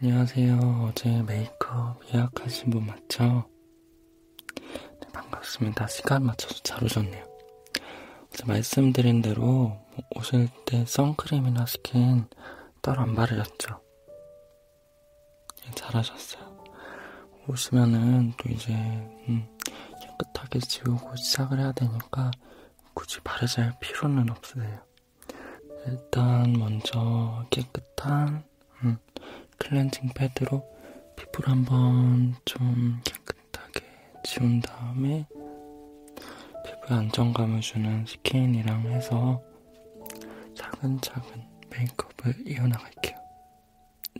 안녕하세요. 어제 메이크업 예약하신 분 맞죠? 네, 반갑습니다. 시간 맞춰서 잘 오셨네요. 어제 말씀드린 대로 오실 때 선크림이나 스킨 따로 안 바르셨죠? 네, 잘하셨어요. 오시면은 또 이제 음, 깨끗하게 지우고 시작을 해야 되니까 굳이 바르지 할 필요는 없으세요. 일단 먼저 깨끗한 음, 클렌징 패드로 피부를 한번 좀 깨끗하게 지운 다음에 피부에 안정감을 주는 스킨이랑 해서 차근차근 메이크업을 이어나갈게요.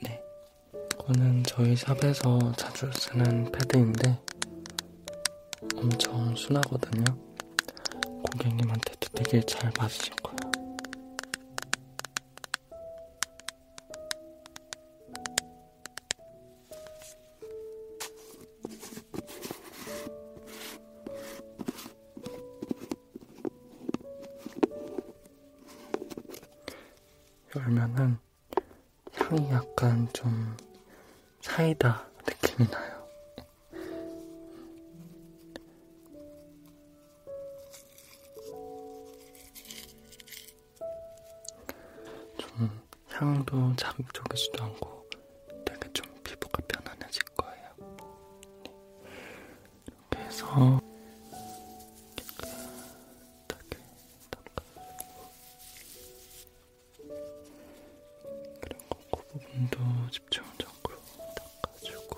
네. 이거는 저희 샵에서 자주 쓰는 패드인데 엄청 순하거든요. 고객님한테도 되게 잘 맞으실 거예요. 열면은 향이 약간 좀 사이다 느낌이 나요. 좀 향도 자극적이지도 않고 되게 좀 피부가 편안해질 거예요. 네. 이렇게 해서 깨끗하게 닦아주고 그리고 그 부분도 집중적으로 닦아주고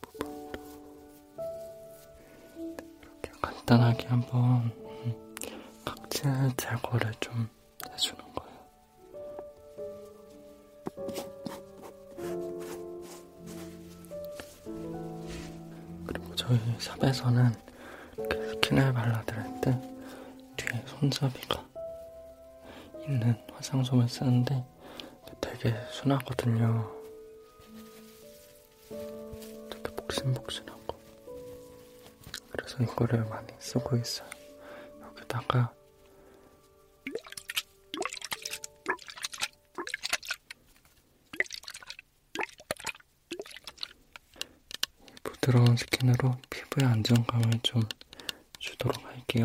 그 부분도 이렇게 간단하게 한번 각질 제거를 좀 해주는 거예요. 그리고 저희 샵에서는 스킨을 발라드릴 때 뒤에 손잡이가 있는 화장솜을 쓰는데 그 되게 순하거든요. 되게 복신복신하고. 그래서 이거를 많이 쓰고 있어요. 여기다가 부드러운 스킨으로 피부에 안정감을 좀 주도록 할게요.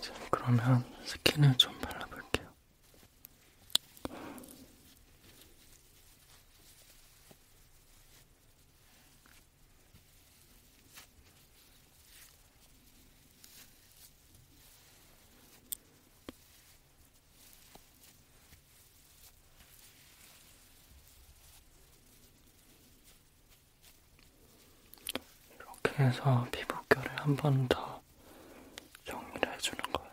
자, 그러면 스킨을 좀 발라볼게요. 이렇게 해서 피부결을 한 번 더 정리를 해주는 거예요.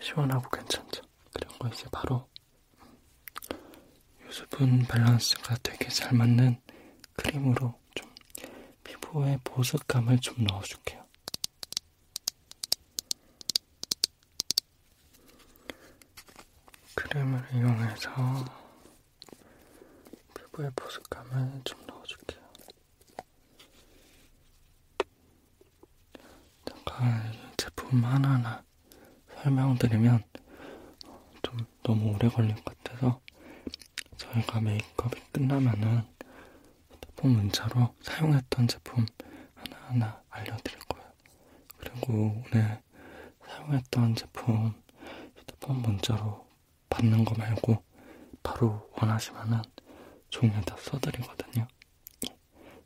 시원하고 괜찮죠? 그런 거 이제 바로 유수분 밸런스가 되게 잘 맞는 크림으로 좀 피부에 보습감을 좀 넣어줄게요. 크림을 이용해서 피부에 보습감을 좀 넣어줄게요. 잠깐 제품 하나하나 설명드리면 좀 너무 오래 걸릴 것 같아서 저희가 메이크업이 끝나면은 핸드폰 문자로 사용했던 제품 하나하나 알려드릴 거예요. 그리고 오늘 사용했던 제품 휴대폰 문자로 받는 거 말고 바로 원하시면은 종이에다 써드리거든요.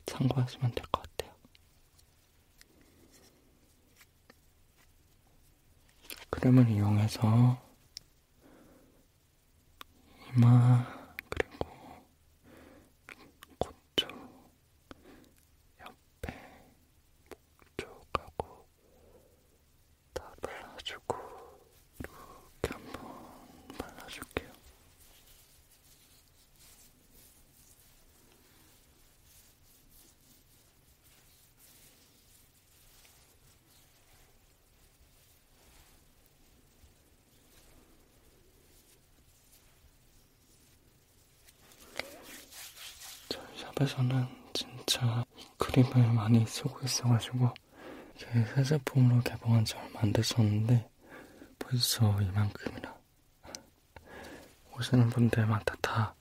참고하시면 될 것 같아요. 크림을 이용해서 이마 그리고 콧 왼쪽 옆에 목쪽하고 다 발라주고 이렇게 한번 발라줄게요. 이렇게 저희 샵에서는 진짜 이 크림을 많이 쓰고 있어가지고 이게 새 제품으로 개봉한 지 얼마 안 됐었는데 벌써 이만큼이나 오시는 분들마다 다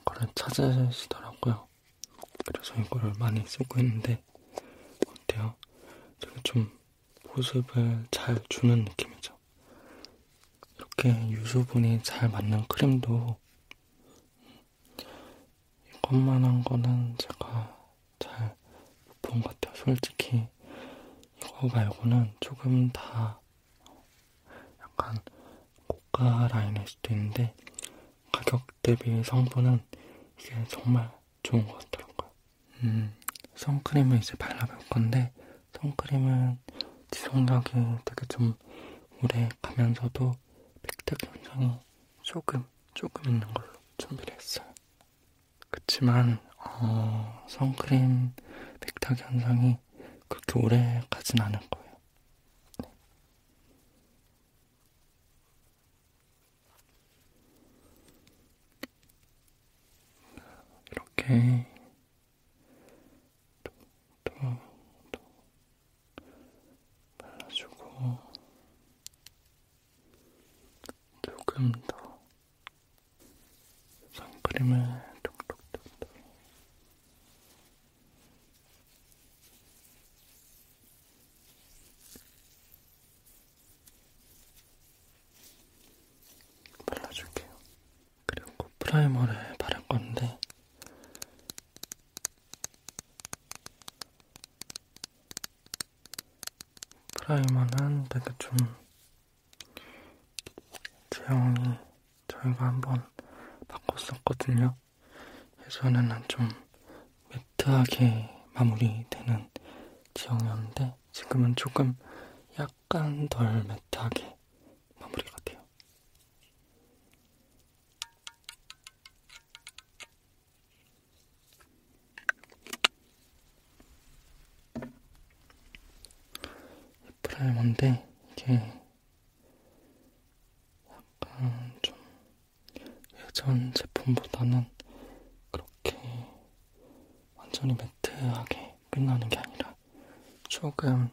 이거를 찾으시더라고요. 그래서 이거를 많이 쓰고 있는데 어때요? 되게 좀 보습을 잘 주는 느낌이죠. 이렇게 유수분이 잘 맞는 크림도 이것만한 거는 제가 잘 못 본 것 같아요. 솔직히 이거 말고는 조금 다 약간 고가 라인일 수도 있는데 가격 대비 성분은 이게 정말 좋은 것 같더라고요. 음, 선크림을 이제 발라볼 건데, 선크림은 지속력이 되게 좀 오래 가면서도 팩트 현상이 조금, 조금 있는 걸로 준비를 했어요. 그치만, 어, 선크림 백탁 현상이 그렇게 오래 가진 않을 거예요. 네. 이렇게 톡톡톡 발라주고 조금 더 선크림을 톡톡톡톡 발라줄게요. 그리고 프라이머를 바를 건데 프라이머는 되게 좀 제형이 저희가 한번 바꿨었거든요. 예전에는 좀 매트하게 마무리되는 지형이었는데 지금은 조금 약간 덜 매트하게 마무리가 돼요. 프라이머인데 이게 약간 좀 예전 제품보다는 그렇게 완전히 매트하게 끝나는 게 아니라 조금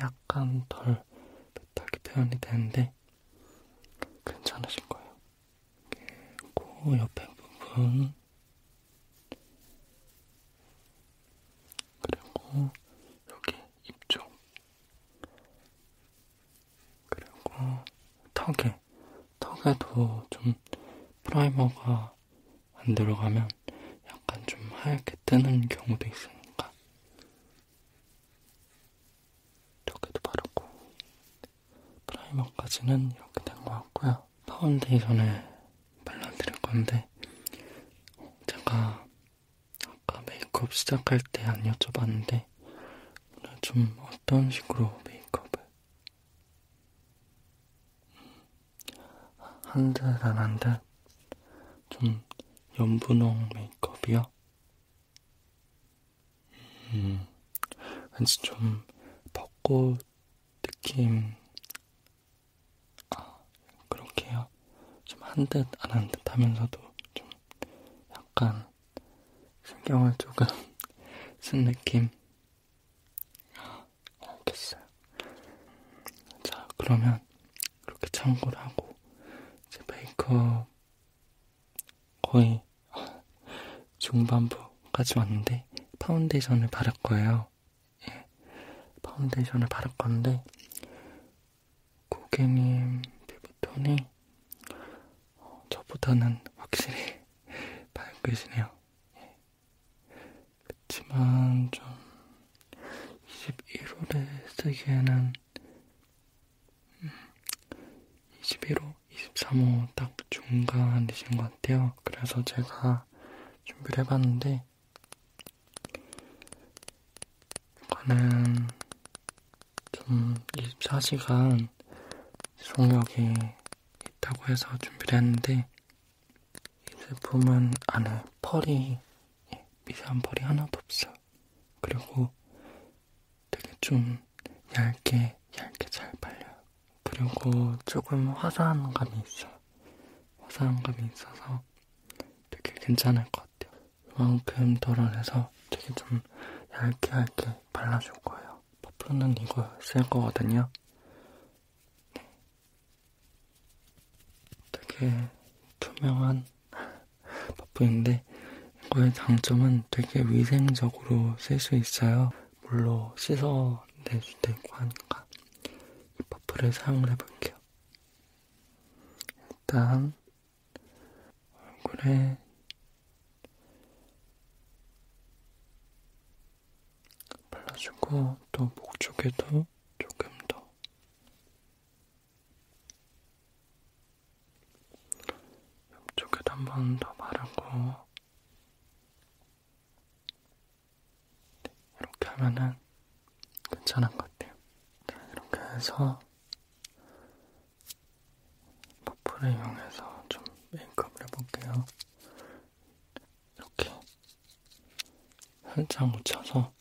약간 덜 매트하게 표현이 되는데 괜찮으실 거예요. 코 그 옆에 부분 그리고 여기 입쪽 그리고 턱에 사실 턱에도 좀 프라이머가 안 들어가면 약간 좀 하얗게 뜨는 경우도 있으니까 이렇게도 바르고 프라이머까지는 이렇게 된 것 같고요. 파운데이션을 발라드릴 건데 제가 아까 메이크업 시작할 때 안 여쭤봤는데 오늘 좀 어떤 식으로 메이크업을 한듯안한듯좀 연분홍 메이크업이요? 음, 왠지 좀 벚꽃 느낌 아, 그렇게요? 좀 한 듯 안 한 듯 하면서도 좀 약간 신경을 조금 쓴 느낌? 알겠어요. 자, 그러면 이렇게 참고를 하고 이제 메이크업 거의 중반부까지 왔는데 파운데이션을 바를 거예요. 예, 파운데이션을 바를 건데 고객님 피부톤이 어, 저보다는 확실히 밝으시네요. 그치만 좀 21월에 쓰기에는 21호, 음, 23호 딱 중간이신 것 같아요. 그래서 제가 준비를 해봤는데 이거는 좀 24시간 속력이 있다고 해서 준비를 했는데 이 제품은 안에 펄이 예, 미세한 펄이 하나도 없어요. 그리고 되게 좀 얇게 얇게 잘 발려요. 그리고 조금 화사한 감이 있어요. 화사한 감이 있어서 되게 괜찮을 것 같아요. 이만큼 덜어내서 되게 좀 얇게 얇게 발라줄 거예요. 버프로는 이거 쓸 거거든요. 네. 되게 투명한 버프인데 이거의 장점은 되게 위생적으로 쓸 수 있어요. 물로 씻어낼 수도 있고 하니까 이 버프를 사용을 해볼게요. 일단 얼굴에 발라주고 또 목 쪽에도 조금 더 옆쪽에도 한 번 더 바르고 네, 이렇게 하면은 괜찮은 것 같아요. 자, 이렇게 해서 퍼프를 이용해서 좀 메이크업을 해볼게요. 이렇게 살짝 묻혀서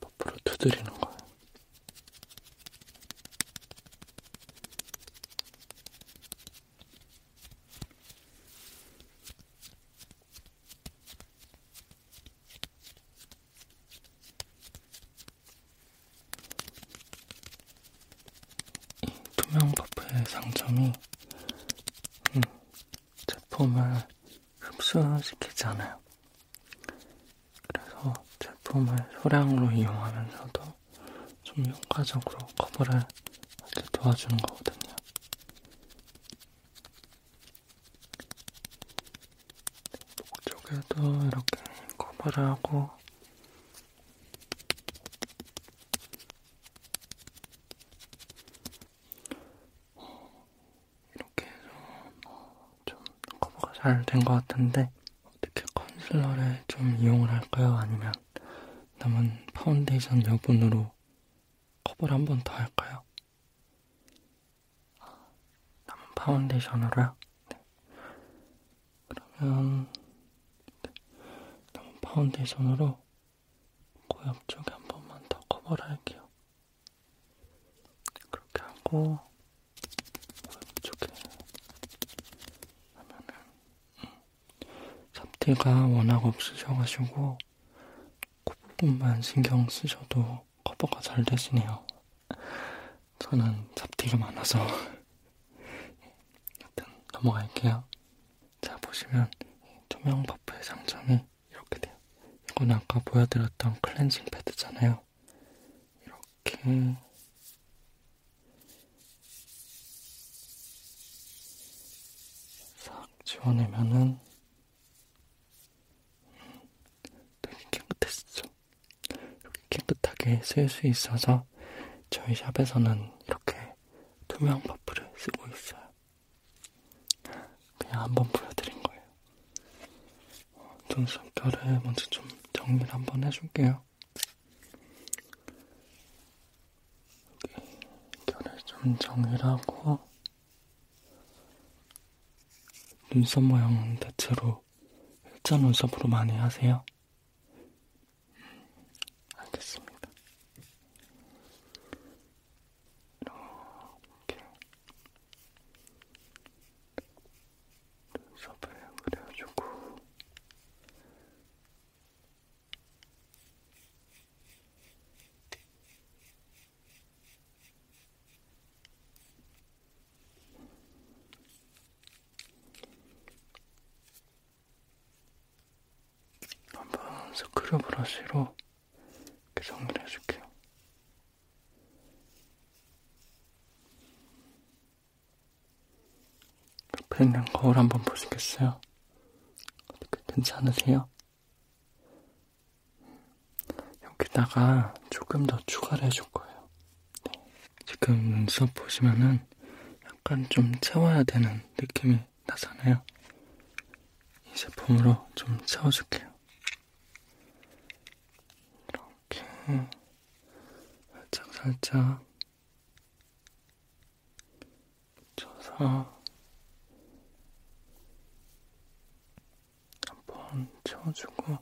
퍼프로 두드리는 거예요. 이 투명 퍼프의 장점이 음, 제품을 흡수시키지 않아요. 그래서 제품을 소량으로 이용하면서도 좀 효과적으로 커버를 도와주는 거거든요. 목 쪽에도 이렇게 커버를 하고 이렇게 해서 좀 커버가 잘 된 것 같은데 어떻게 컨실러를 좀 이용을 할까요? 아니면 남은 파운데이션 여분으로 커버를 한 번 더 할까요? 아, 남은 파운데이션으로요? 네. 그러면 네. 남은 파운데이션으로 코 옆쪽에 한 번만 더 커버를 할게요. 그렇게 하고 코 옆쪽에 하면은 음. 잡티가 워낙 없으셔가지고 콧부분만 그 신경 쓰셔도 어, 커버가 잘 되시네요. 저는 잡티가 많아서. 하여튼 넘어갈게요. 자, 보시면 투명 버프의 장점이 이렇게 돼요. 이건 아까 보여드렸던 클렌징 패드잖아요. 이렇게. 싹 지워내면은 되게 깨끗했죠. 이렇게 깨끗하게 쓸 수 있어서 저희 샵에서는 이렇게 투명 퍼프를 쓰고 있어요. 그냥 한번 보여드린 거예요. 눈썹결을 먼저 좀 정리를 한번 해줄게요. 여기 결을 좀 정리를 하고 눈썹 모양은 대체로 일자 눈썹으로 많이 하세요? 음, 알겠습니다. 이렇게 눈썹을 그려주고 한번 스크류 브러쉬로 이렇게 정리를 해줄게요. 옆에 있는 거울 한번 보시겠어요? 어떻게 괜찮으세요? 여기다가 조금 더 추가를 해줄 거예요. 네. 지금 눈썹 보시면은 약간 좀 채워야 되는 느낌이 나잖아요. 이 제품으로 좀 채워줄게요. 이렇게 살짝 살짝 붙여서 한번 채워주고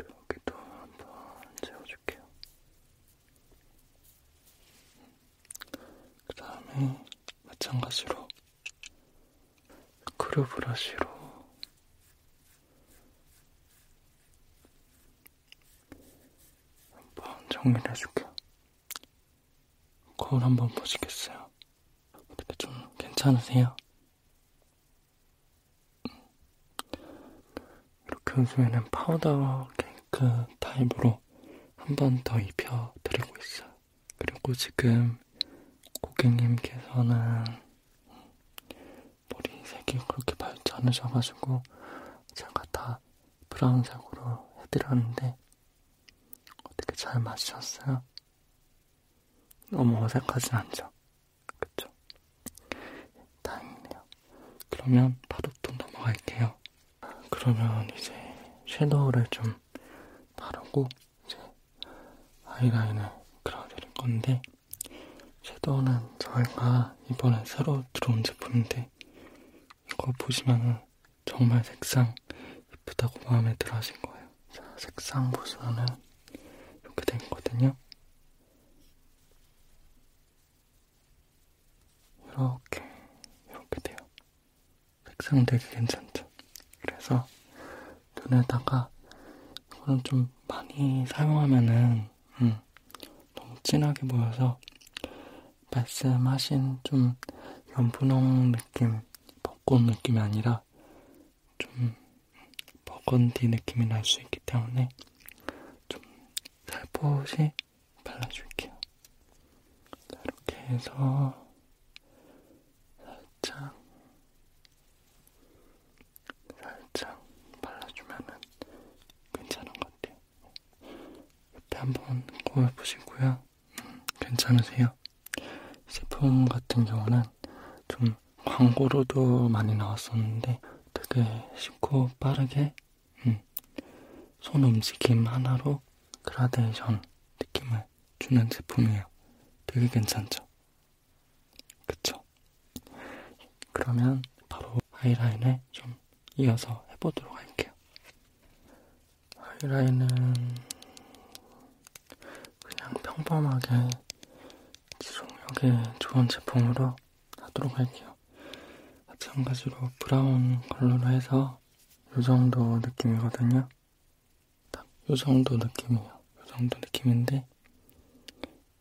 여기도 한 번 채워줄게요. 그 다음에 마찬가지로 크루 브러쉬로 한 번 정리를 해줄게요. 거울 한번 보시겠어요? 어떻게 좀 괜찮으세요? 음. 이렇게 요즘에는 파우더 케이크 타입으로 한 번 더 입혀드리고 있어요. 그리고 지금 고객님께서는 머리색이 그렇게 밝지 않으셔가지고 제가 다 브라운색으로 해드렸는데 어떻게 잘 맞으셨어요? 너무 어색하진 않죠? 그쵸? 다행이네요. 그러면 파도톤 넘어갈게요. 그러면 이제 섀도우를 좀 바르고 이제 아이라인을 그려드릴 건데 섀도우는 저희가 이번에 새로 들어온 제품인데 이거 보시면은 정말 색상 이쁘다고 마음에 들어 하신 거예요. 자, 색상 보시면은 이렇게 돼 있거든요. 이렇게, 이렇게 돼요. 색상 되게 괜찮죠? 그래서 눈에다가 이거는 좀 많이 사용하면은 음, 너무 진하게 보여서 말씀하신 좀 연분홍 느낌 뭐 벚꽃 느낌이 아니라 좀 버건디 느낌이 날 수 있기 때문에 좀 살포시 발라줄게요. 자, 이렇게 해서 살짝 살짝 발라주면은 괜찮은 것 같아요. 옆에 한번 꼬여보시고요. 괜찮으세요? 제품 같은 경우는 좀 광고로도 많이 나왔었는데 되게 쉽고 빠르게 음, 손 움직임 하나로 그라데이션 느낌을 주는 제품이에요. 되게 괜찮죠? 그쵸? 그러면 바로 아이라인을 좀 이어서 해보도록 할게요. 하이라인은 그냥 평범하게 지속력에 좋은 제품으로 하도록 할게요. 마찬가지로 브라운 컬러로 해서 이 정도 느낌이거든요. 딱이 정도 느낌이에요. 이 정도 느낌인데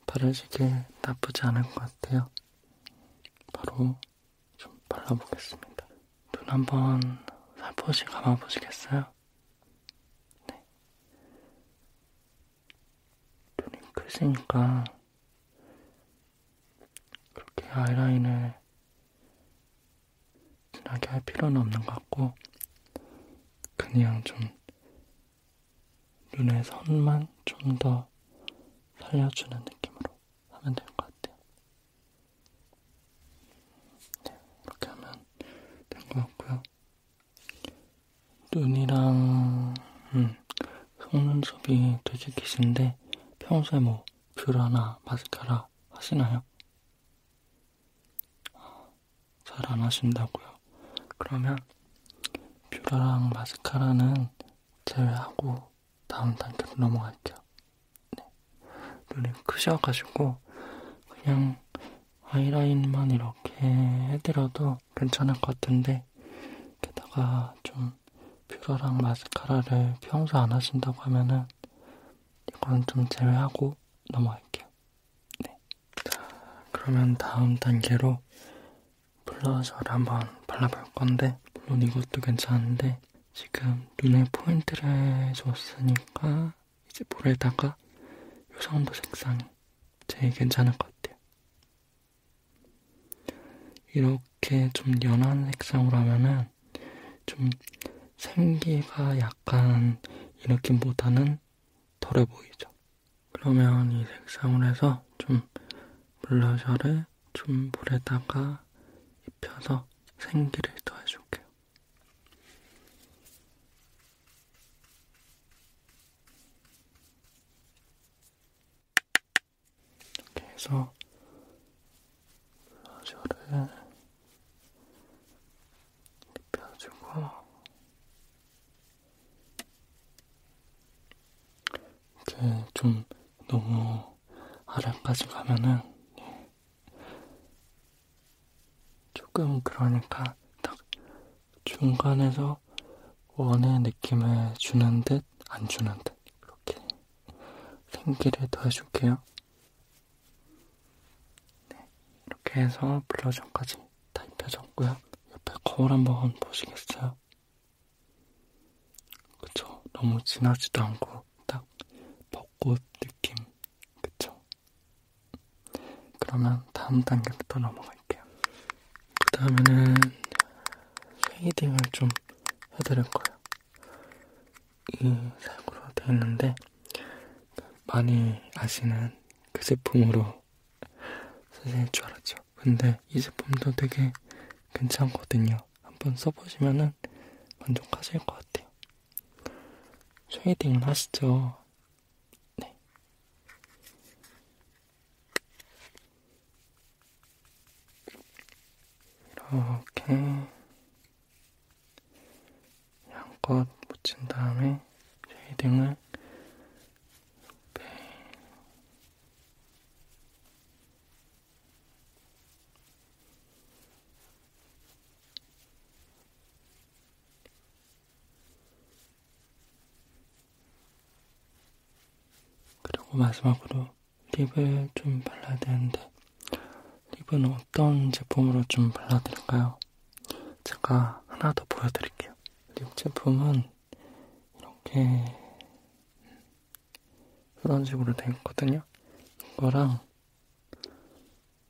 바르시게 나쁘지 않을 것 같아요. 바로 좀 발라보겠습니다. 눈 한번 살포시 감아보시겠어요? 네. 눈이 크시니까 그렇게 아이라인을 진하게 할 필요는 없는 것 같고 그냥 좀 눈의 선만 좀 더 살려주는 느낌으로 하면 될 것 같아요. 네, 이렇게 하면 된 것 같고요. 눈이랑 음, 속눈썹이 되게 기신데 평소에 뭐 뷰러나 마스카라 하시나요? 아, 잘안 하신다고요. 그러면 뷰러랑 마스카라는 제외하고 다음 단계로 넘어갈게요. 네. 눈이 크셔가지고 그냥 아이라인만 이렇게 해드려도 괜찮을 것 같은데 게다가 좀 뷰러랑 마스카라를 평소 안 하신다고 하면은 이건 좀 제외하고 넘어갈게요. 네. 자, 그러면 다음 단계로 블러셔를 한번 발라볼 건데 물론 이것도 괜찮은데 지금 눈에 포인트를 줬으니까 이제 볼에다가 요 정도 색상이 제일 괜찮을 것 같아요. 이렇게 좀 연한 색상으로 하면은 좀 생기가 약간 이 느낌보다는 덜해 보이죠. 그러면 이 색상으로 해서 좀 블러셔를 좀 볼에다가 입혀서 생기를 더해줄게요. 이렇게 해서 블러셔를 입혀주고 이렇게 좀 너무 아래까지 가면은 조금 그러니까 딱 중간에서 원의 느낌을 주는 듯, 안 주는 듯, 그렇게 생기를 더해줄게요. 네, 이렇게 해서 블러셔까지 다 입혀졌고요. 옆에 거울 한번 보시겠어요? 그쵸, 너무 진하지도 않고 딱 벚꽃 느낌, 그쵸? 그러면 다음 단계부터 넘어갈게요. 그 다음에는 쉐이딩을 좀 해드릴 거예요. 이 색으로 되어 있는데, 많이 아시는 그 제품으로 쓰실 줄 알았죠. 근데 이 제품도 되게 괜찮거든요. 한번 써보시면은 만족하실 것 같아요. 쉐이딩을 하시죠. 네. 이렇게 양껏 묻힌 다음에 쉐이딩을 이렇게 그리고 마지막으로 립을 좀 발라야 되는데 립은 어떤 제품으로 좀 발라드릴까요? 제가 하나 더 보여드릴게요. 립 제품은 이렇게 그런 식으로 되어 있거든요. 이거랑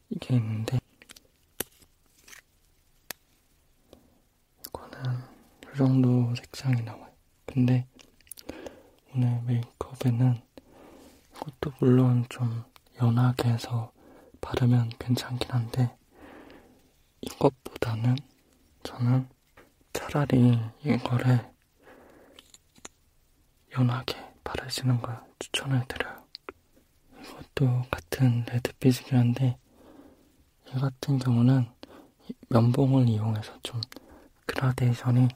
이게 있는데 이거는 이 정도 색상이 나와요. 근데 오늘 메이크업에는 이것도 물론 좀 연하게 해서 바르면 괜찮긴 한데 이것보다는 저는 차라리 이거를 연하게 바르시는 걸 추천을 드려요. 이것도 같은 레드빛이긴 한데 이 같은 경우는 면봉을 이용해서 좀 그라데이션이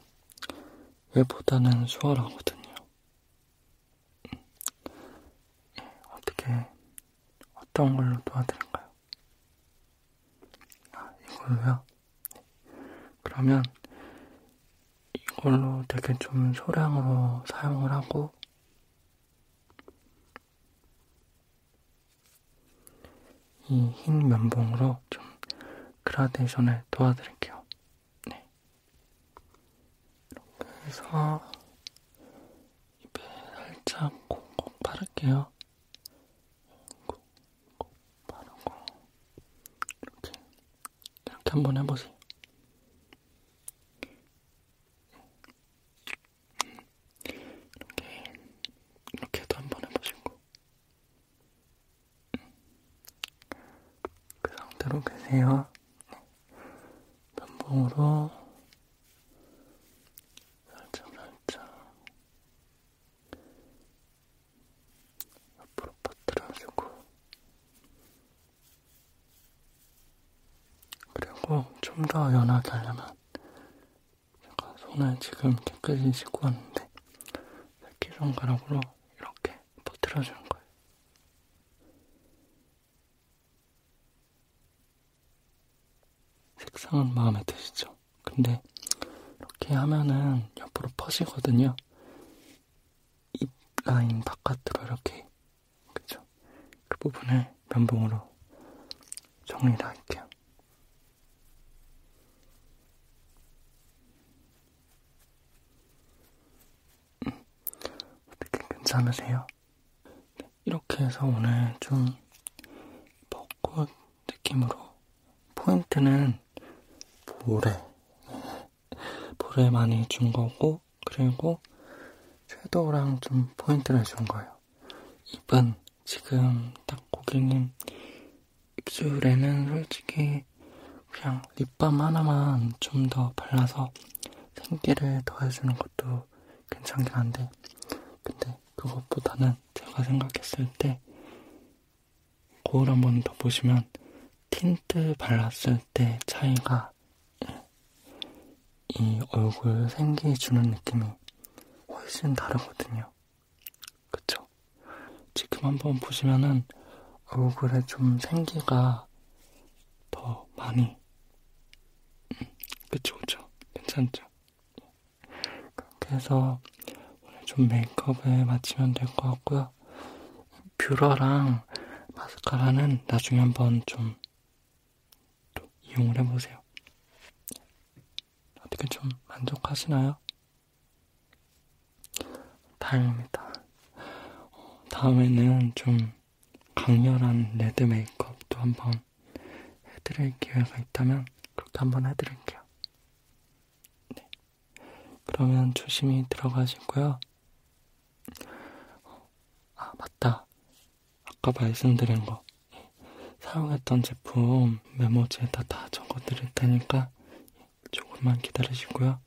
얘보다는 수월하거든요. 음, 어떻게 어떤 걸로 도와드릴까요? 아, 이걸로요? 그러면 이걸로 되게 좀 소량으로 사용을 하고 이 흰 면봉으로 좀 그라데이션을 도와드릴게요. 네. 이렇게 해서 입에 살짝 콕콕 바를게요. 콕. 바르고 이렇게 이렇게 한 번 해보세요. 이렇게 이렇게도 한 번 해보시고 그 상태로 계세요. 면봉으로 살짝 살짝 앞으로 퍼뜨려주고 그리고 좀 더 연하게 하려면 제가 손을 지금 깨끗이 씻고 왔는데 새끼손가락으로 이렇게 퍼뜨려주는 거예요. 색상은 마음에 드시죠? 근데 이렇게 하면은 옆으로 퍼지거든요. 입 라인 바깥으로 이렇게 그쵸? 그 부분을 면봉으로 정리를 할게요. 음, 어떻게 괜찮으세요? 네, 이렇게 해서 오늘 좀 벚꽃 느낌으로 포인트는 거는 볼에 볼에 많이 준 거고 그리고 섀도우랑 좀 포인트를 준 거예요. 입은 지금 딱 고객님 입술에는 솔직히 그냥 립밤 하나만 좀 더 발라서 생기를 더해주는 것도 괜찮긴 한데 근데 그것보다는 제가 생각했을 때 거울 한 번 더 보시면 틴트 발랐을 때 차이가 예, 이 얼굴 생기 주는 느낌이 훨씬 다르거든요. 그쵸? 지금 한 번 보시면은 얼굴에 좀 생기가 더 많이, 음, 그쵸, 그쵸? 괜찮죠? 그 그래서 오늘 좀 메이크업에 마치면 될 것 같고요. 뷰러랑 마스카라는 나중에 한번 좀 또 이용을 해보세요. 어떻게 좀 만족하시나요? 다행입니다. 다음에는 좀 강렬한 레드 메이크업도 한번 해드릴 기회가 있다면 그렇게 한번 해드릴게요. 네. 그러면 조심히 들어가시고요. 아, 맞다. 아까 말씀드린 거. 사용했던 제품 메모지에다 다 적어드릴 테니까 조금만 기다리시고요.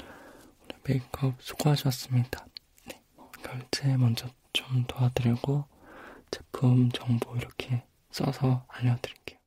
오늘 메이크업 수고하셨습니다. 네, 결제 먼저 좀 도와드리고 제품 정보 이렇게 써서 알려드릴게요.